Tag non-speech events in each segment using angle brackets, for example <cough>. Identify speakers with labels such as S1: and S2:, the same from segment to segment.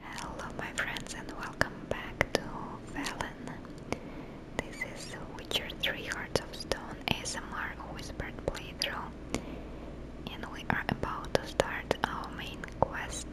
S1: Hello my friends and welcome back to Valen. This is Witcher 3 Hearts of Stone ASMR Whispered playthrough and we are about to start our main quest.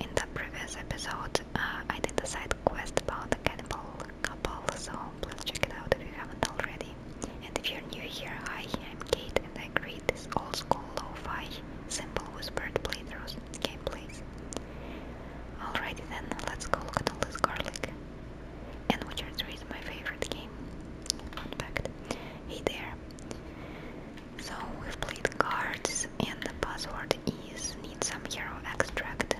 S1: In the previous episode uh, I did a side quest about the cannibal couple so please check it out if you haven't already. And if you're new here, hi, I'm Kate and I create this old school lo-fi simple whispered Game please. Alrighty then, let's go look at all this garlic. And Witcher 3 is my favorite game. Fun fact. Hey there. So we've played cards and the password is need some hero extract.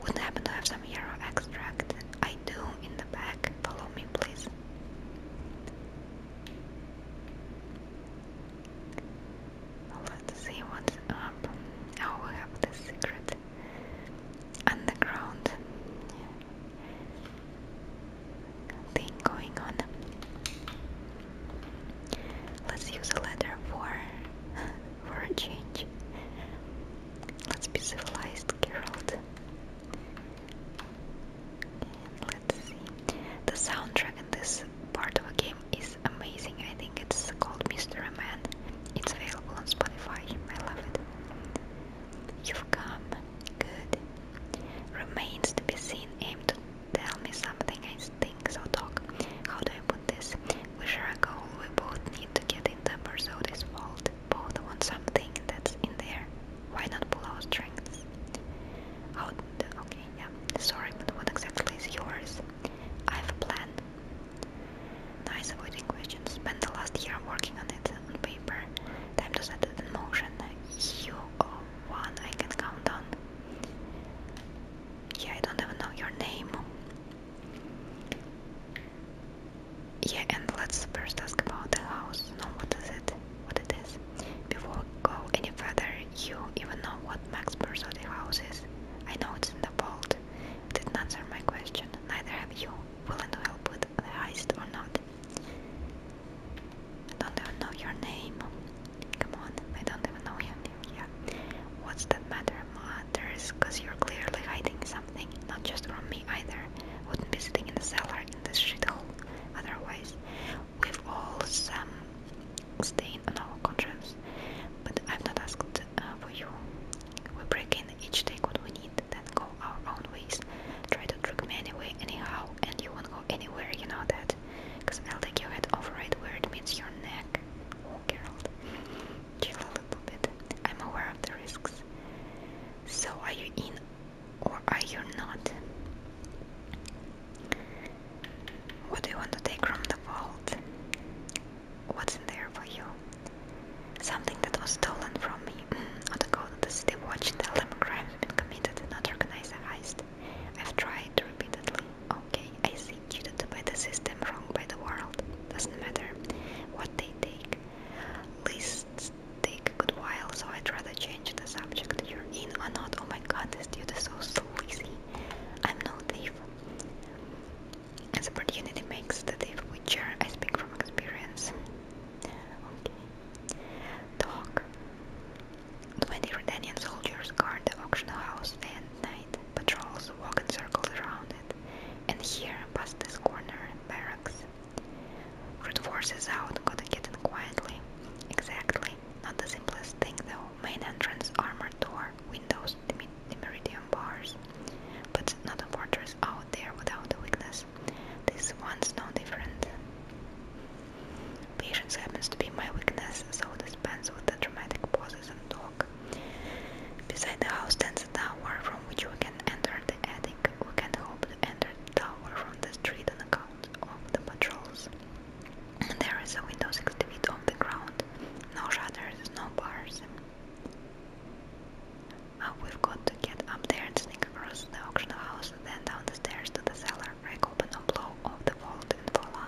S1: Wouldn't happen to have some hero extract. I do in the back. Follow me please let's see what's up. Oh, we have the secret underground thing going on. Let's use a ladder for <laughs> for a change. Let's be civilized, Geralt. The soundtrack in this part of the game is amazing. I think it's called Mystery Man. It's available on Spotify. I love it. You've come. Good. Remains to be seen. Aim to tell me something. I think so. Talk. How do I put this? We share a goal. We both need to get in the pursuit is fault. Both want something that's in there. Why not pull our strengths? Out, okay, yeah. Sorry, but what exactly is yours? I have a plan. Nice avoiding questions. Spent the last year working on it on paper. Time to set it in motion. You are one I can count on. Yeah, I don't even know your name. Yeah, and let's first ask about the house. No, what is it? what it is. Before we go any further, you even know what Max Bursody house is? I know it's in the vault. Didn't answer my question. Neither have you. Willing to help with the heist or not? I don't even know your name. Come on, I don't even know your name. What's the matter? Matters, cause you're clearly hiding something. Not just from me either. Wouldn't be sitting in the cellar in this shithole otherwise we've all some stain on our conscience but i am not asked uh, for you we break in each take what we need then go our own ways try to trick me anyway anyhow and you won't go anywhere you know that because I'll take your head off right where it meets your neck oh Gerald chill a little bit I'm aware of the risks so are you in or are you not? What do you want to take from the vault? What's in there for you? Something that was stolen from me. Mm, on the gold, to the city watch, tell them a crime been committed and not organized heist. I've tried repeatedly. Okay, I see. Cheated by the system, wrong by the world. Doesn't matter what they take. Lists take a good while, so I'd rather change the subject you're in or not. Oh my god, this dude is so sleazy. I'm no thief. As opportunity makes the thief witcher, I speak from experience. Okay. Talk. Twenty Redanian soldiers guard the auction house day and night. Patrols walk in circles around it. And here, past this corner, barracks. Root force is out, gotta get in quietly. Exactly. Not the simplest thing though. Main entrance, armored door, windows, the, meridian bars. But not a fortress out there without a weakness. This one's no different. Patience happens to be my weakness, so dispense with the dramatic pauses and talk. Beside the house stands a tower from which you can enter the attic we can hope to enter the tower from the street on account of the patrols. There is a window six feet off the ground. No shutters, no bars. Uh, we've got to get up there and sneak across the auction house, then down the stairs to the cellar, break open a blow of the vault and voila.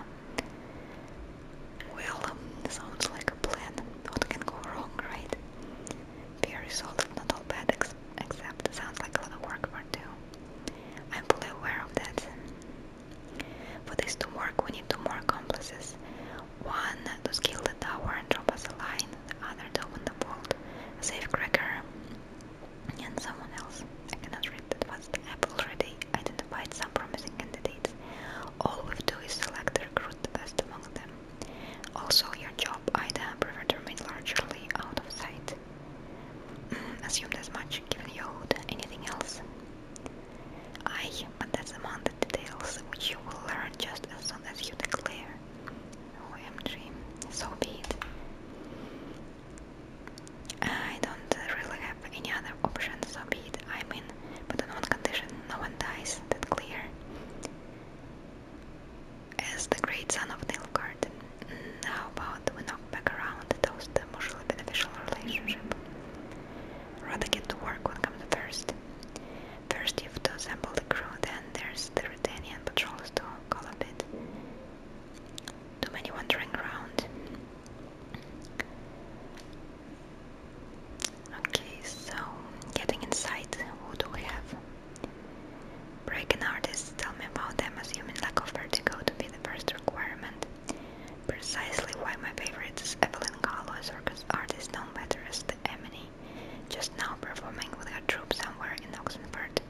S1: Well, um, sounds like a plan. What can go wrong, right? Very solid, not all bad, except sounds like a lot of work for two. I'm fully aware of that. For this to work, we need two more accomplices. One to scale the tower and drop us a line, the other to open the vault, safe Cracker, and someone else. I cannot read that fast. I've already identified some promising candidates. All we do is select recruit best among them. Also, your job prefer to remain largely out of sight. Mm, Assume as much, given your hood. Anything else? Aye, but that's among the details which you will learn just as soon as you declare. OMG, oh, so be it. I don't really have any other option, so be it. I mean, but on one condition, no one dies. That clear? as the great son of Nilfgaard. now mm, about we knock back around those toast mutually beneficial relationship? Rather get to work when comes first. First you have to assemble the crew, then there's the Redanian patrols to call a bit. Too many wandering around. Okay, so getting inside, who do we have? Breaking artists tell me about them assuming lack of vertigo to be the first requirement. Precisely why my favorite is Evelyn Gallo, a circus artist known better as the Emily, just now performing with her troupe somewhere in Oxenford.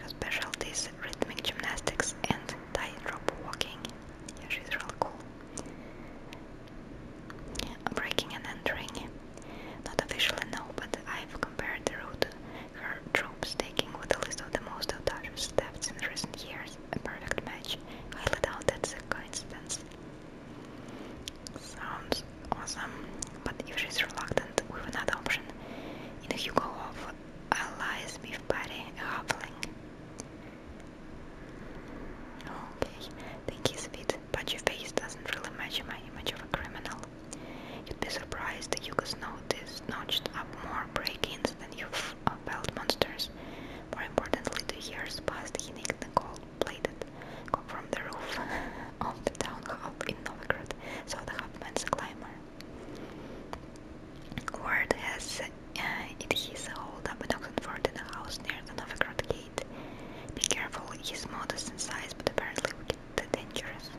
S1: Her specialty is rhythmic gymnastics and tightrope walking. Yeah, she's really cool. Breaking and entering. Not officially, no, but I've compared the route her troops taking with the list of the most audacious thefts in recent years. A perfect match. Highly doubt that's a coincidence. Sounds awesome, but if she's reluctant, we've another option. In Hugo of Allies Beef Patty, a halfling. Okay, think he's fit but your face doesn't really match my image of a criminal. You'd be surprised that you could notice notched up more break-ins than you've uh, felt monsters. More importantly, the years past, he nicked the gold-plated go from the roof <laughs> of the town hall in Novgorod, so the Hopman's climber. Word has uh, it he's a hold-up at Oxenford in a house near the Novgorod gate. Be careful, he's modest in size, but apparently wicked too dangerous.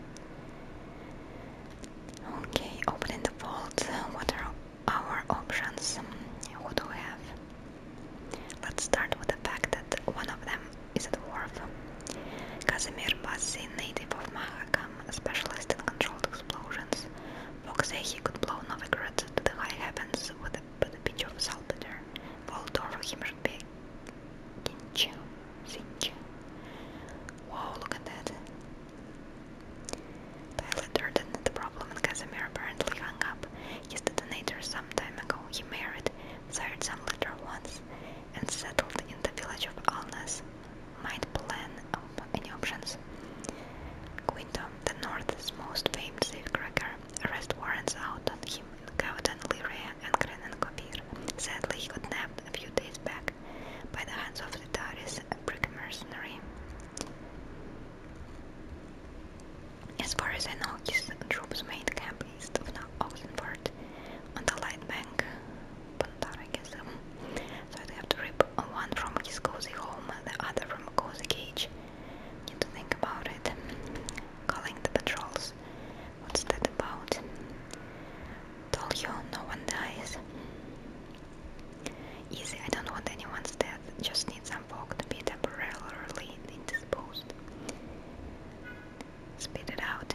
S1: Okay, opening the vault. What are our options? What do we have? Let's start with the fact that one of them is a dwarf. Casimir Bassi, native of Mahakam, specialist in controlled explosions. Fox say he could blow Novigrad to the high heavens with a, with a pitch of saltpeter. Voldor, he must be Kincha, Sincha. Wow, look at that. Tyler Durden had problem and Casimir apparently hung up his detonator some time ago. He married, sired some later once, and settled in the village of Alnas. Might plan any options. Quinto, the North's most famed safecracker, arrest warrants out on him in Cowden Liria Sadly, he got nabbed a few days back by the hands of the Taris, a mercenary. As far as I know, his troops made camp east of Oxenford on the light bank, so I'd have to rip one from his cozy home, the other from a cozy cage. Need to think about it. Calling the patrols What's that about? Told you no one dies. Easy, I don't want anyone's death. Just need some folk to be temporarily indisposed. Spit it out.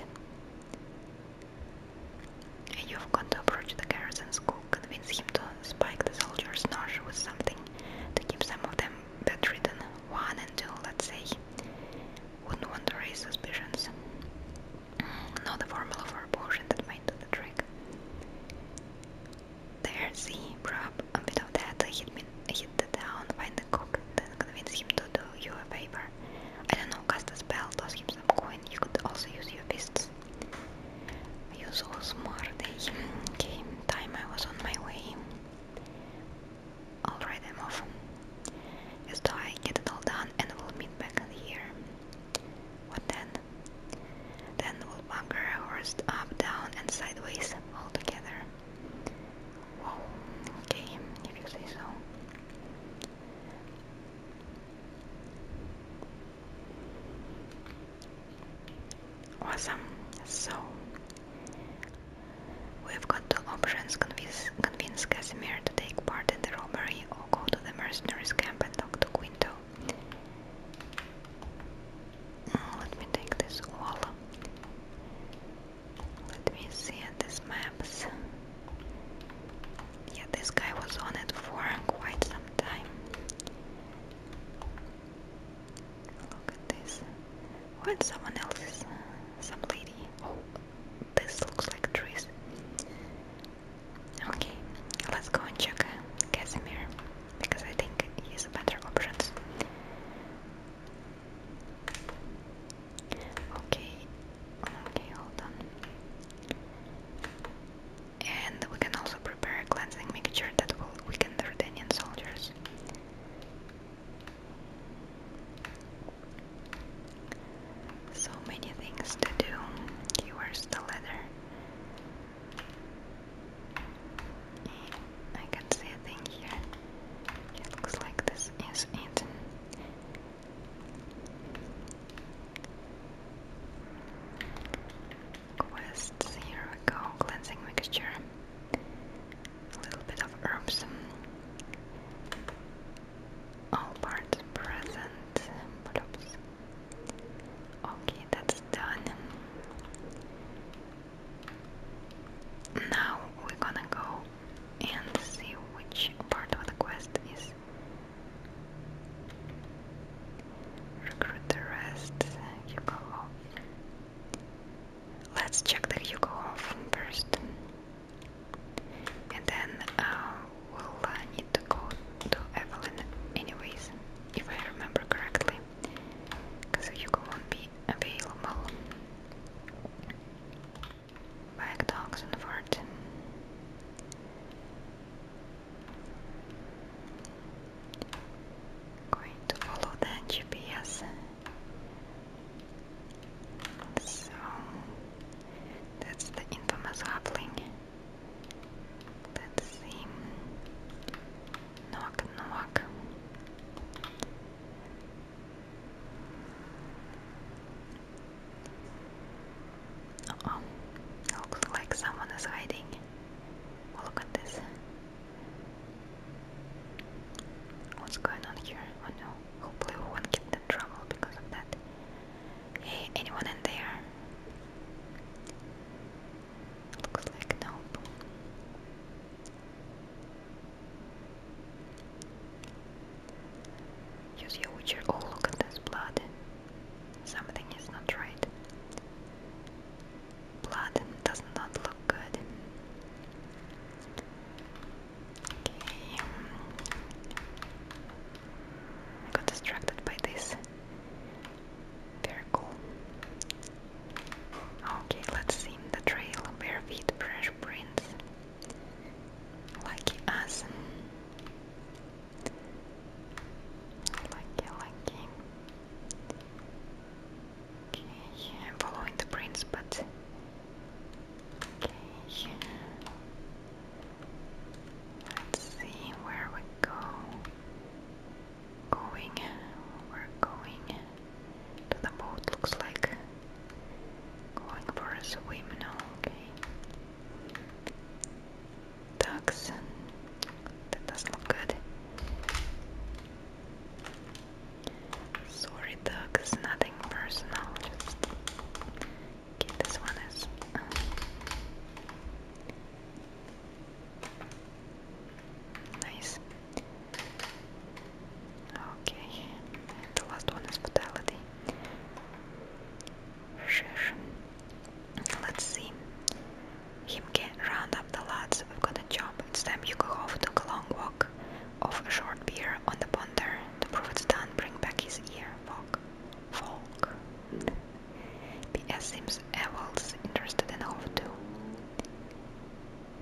S1: You've got to approach the garrison school, convince him to spike the soldiers' nosh with something to keep some of them bedridden. One and two, let's say wouldn't want to raise suspicions. Know the formula for a potion that might do the trick. There, see, grab a bit of that, hit, me, hit the down, find the cook, then convince him to do you a favor. I don't know, cast a spell, toss him some coin, you could also use your fists. Use all so smart, eh? Okay, time I was on my way. Alright, I'm off. Just I get it all done and we'll meet back in here. What then? Then we'll bunker our up, down, and sideways all together. Whoa, okay, if you say so. Awesome. So We've got two options, convince, Casimir to take part in the robbery or go to the mercenaries camp and talk to Quinto. Mm, let me take this wall. Let me see these maps. Yeah, this guy was on it for quite some time. Look at this. When someone else some lady. Oh, this looks like trees. Okay, let's go and check Casimir because I think he's a better option. Okay, okay, hold on. And we can also prepare a cleansing mixture that will weaken the Redanian soldiers. So many things to do. Here's the letter. I can see a thing here. It looks like this is it. Quests, here we go, cleansing mixture a little bit of herbs. All parts present. What Okay, that's done. Now we're gonna go and see which part of the quest is. Recruit the rest. You go. Let's check that you go off first, and then uh, we'll uh, need to go to Evelyn anyways, if I remember correctly, because Hugo won't be available. Back dogs and Going to follow the GPS so that's the infamous hobbling. Let's see. Knock knock. oh. Looks like someone is hiding. Look at this. What's going on here? Oh no. Hopefully we won't get in trouble because of that. Hey, anyone in there? Looks like nope. Use your witcher. Oh, look at this blood. Something is not right. Blood does not look good. Okay. I got distracted by this. Very cool. Okay, let's sim the trail. Bare feet, fresh prints. Lucky us. Lucky, lucky. Okay, I'm following the prince, but okay. Let's see where we go. Going, we're going to the boat. Looks like going for a swim now. Okay. Ducks. That doesn't look good. Sorry, Doug, it's nothing personal. Just okay, this one is. Uh, nice. Okay, the last one is fatality. Let's see. Him get round up the lads. We've got a job. It's time you go off, took a long walk of a short beer on the to prove it's done, bring back his ear. Volk. Volk. P.S. Seems Evel's interested in Hove too.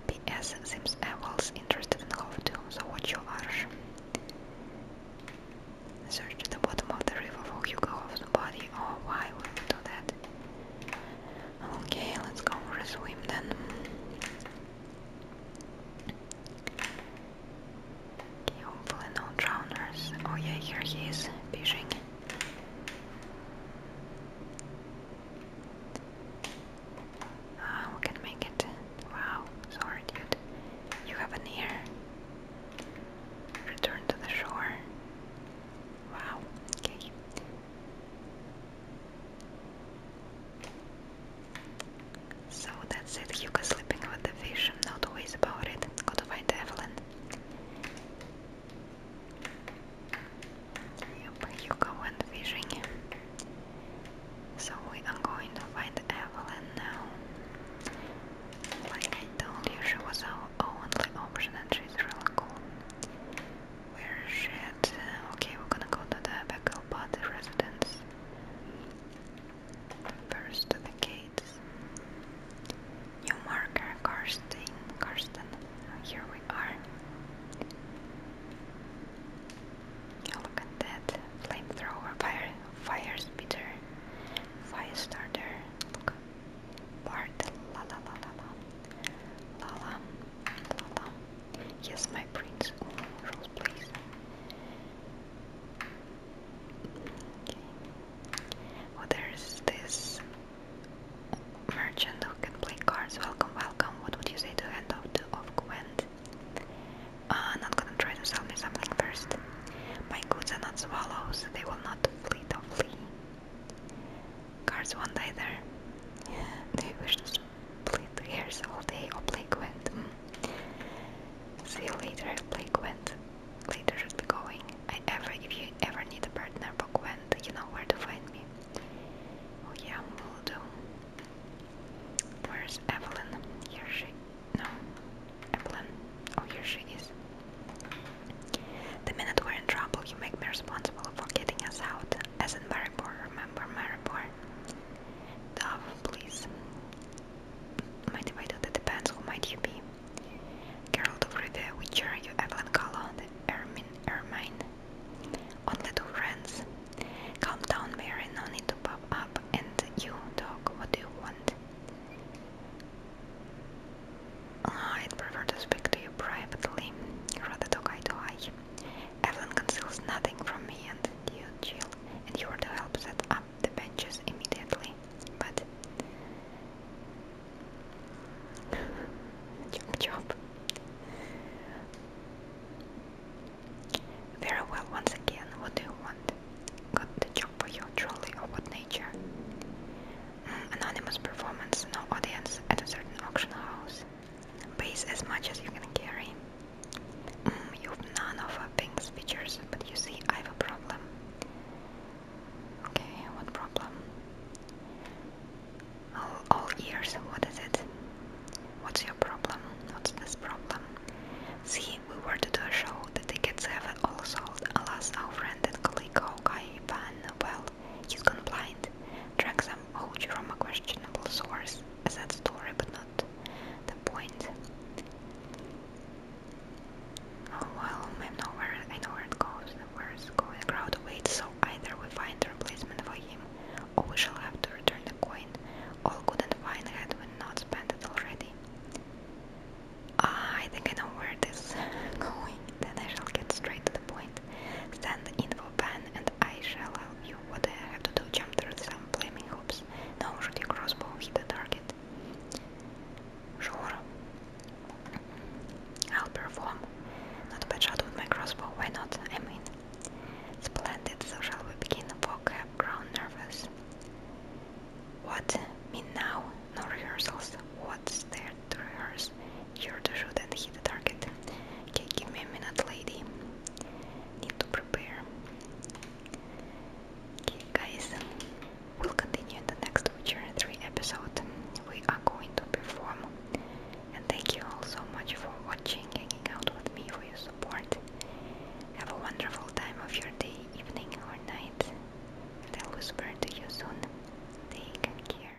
S1: P.S. Seems Evel's interested in Hove too, so watch your arch. Search the bottom of the river for off the body. Oh, why would you do that? Okay, let's go for a swim then. Okay, hopefully no drowners. Oh yeah, here he is, fishing. Ah, we can make it. Wow, sorry dude. You have an ear. Return to the shore. Wow, okay. So that's it, Yuka sleeping with the vision. no two about it. Go to find Evelyn. Yep, Yuka went fishing. So we are going to find Evelyn now. Like I told you, she was our only option and she's really cool. We're at? Okay, we're gonna go to the Beckel Body residence. First the gates. New marker, Karsten. Karsten. Here we are. Look at that. Flamethrower, fire, fire speeder, fire starter. Look. Bart, Yes, my prince. Rules, please. Oh, there's this merchant who can play cards. Welcome, welcome. What would you say to hand of of Gwent? Uh, not gonna try to sell me something first. My goods are not swallows. They will not flee. Cars won't either. Yeah, do you wish to split ears all day or play Gwent? See you later, play wind. Later should be going. I ever, if you ever need a partner for wind. you know where to find me. Oh yeah, will do. Where's Evelyn? Here she... no. Evelyn. Oh, here she is. The minute we're in trouble, you make me responsible responsible for getting us out, as in Maribor, remember Maribor? Dove, please. Mind if I depends, who might you be? Geralt of Rivia, Witcher, you Evelyn Collon, Ermine, Ermine. Only two friends. Calm down, Mary, no need to pop up. And you, dog, what do you want? Ah, I'd prefer to speak to you privately, rather than eye to eye. Evelyn conceals nothing from me and you, Jill, and you're to help set up the benches immediately. But chop <laughs> chop. Very well, once again, what do you want? Got the job for you, trolley of what nature? Mm, anonymous performance, no audience at a certain auction house. Weighs as much as mm, you can carry. you've none of uh, Pink's features, but you see, I have a problem. Okay, what problem? All, ears, what is it? What's your problem? What's this problem? See, we were to do a show, the tickets have all sold. Alas, our friend and colleague Hawkeye Van, well, result, he's gone blind. Draxam holds from a questionable source. A sad story, but not the point. Oh, well, I know where I know where it goes. Where is going? crowd awaits, so either we find a replacement for him, or we shall have to return the coin. All good and fine had we not spent it already. Ah, I think I know where this <laughs> going. Then I shall get straight to the point. Stand in the info and I shall help you. What I have to do? Jump through some flaming hoops. No, shoot your crossbow, hit the target. Sure. I'll perform. Not a bad shot with my crossbow, why not? I mean. Splendid, so shall we begin? Fog have grown nervous. What? Mean now? No rehearsals? What's there to rehearse? You're the shoot and hit the target. Okay, give me a minute, lady. Need to prepare. Okay, guys, we'll continue in the next Witcher 3 episode. We are going to perform. And thank you all so much for watching, hanging out with me, for your support. Have a wonderful time of your day, evening, or night. And I'll whisper to you soon. Take care.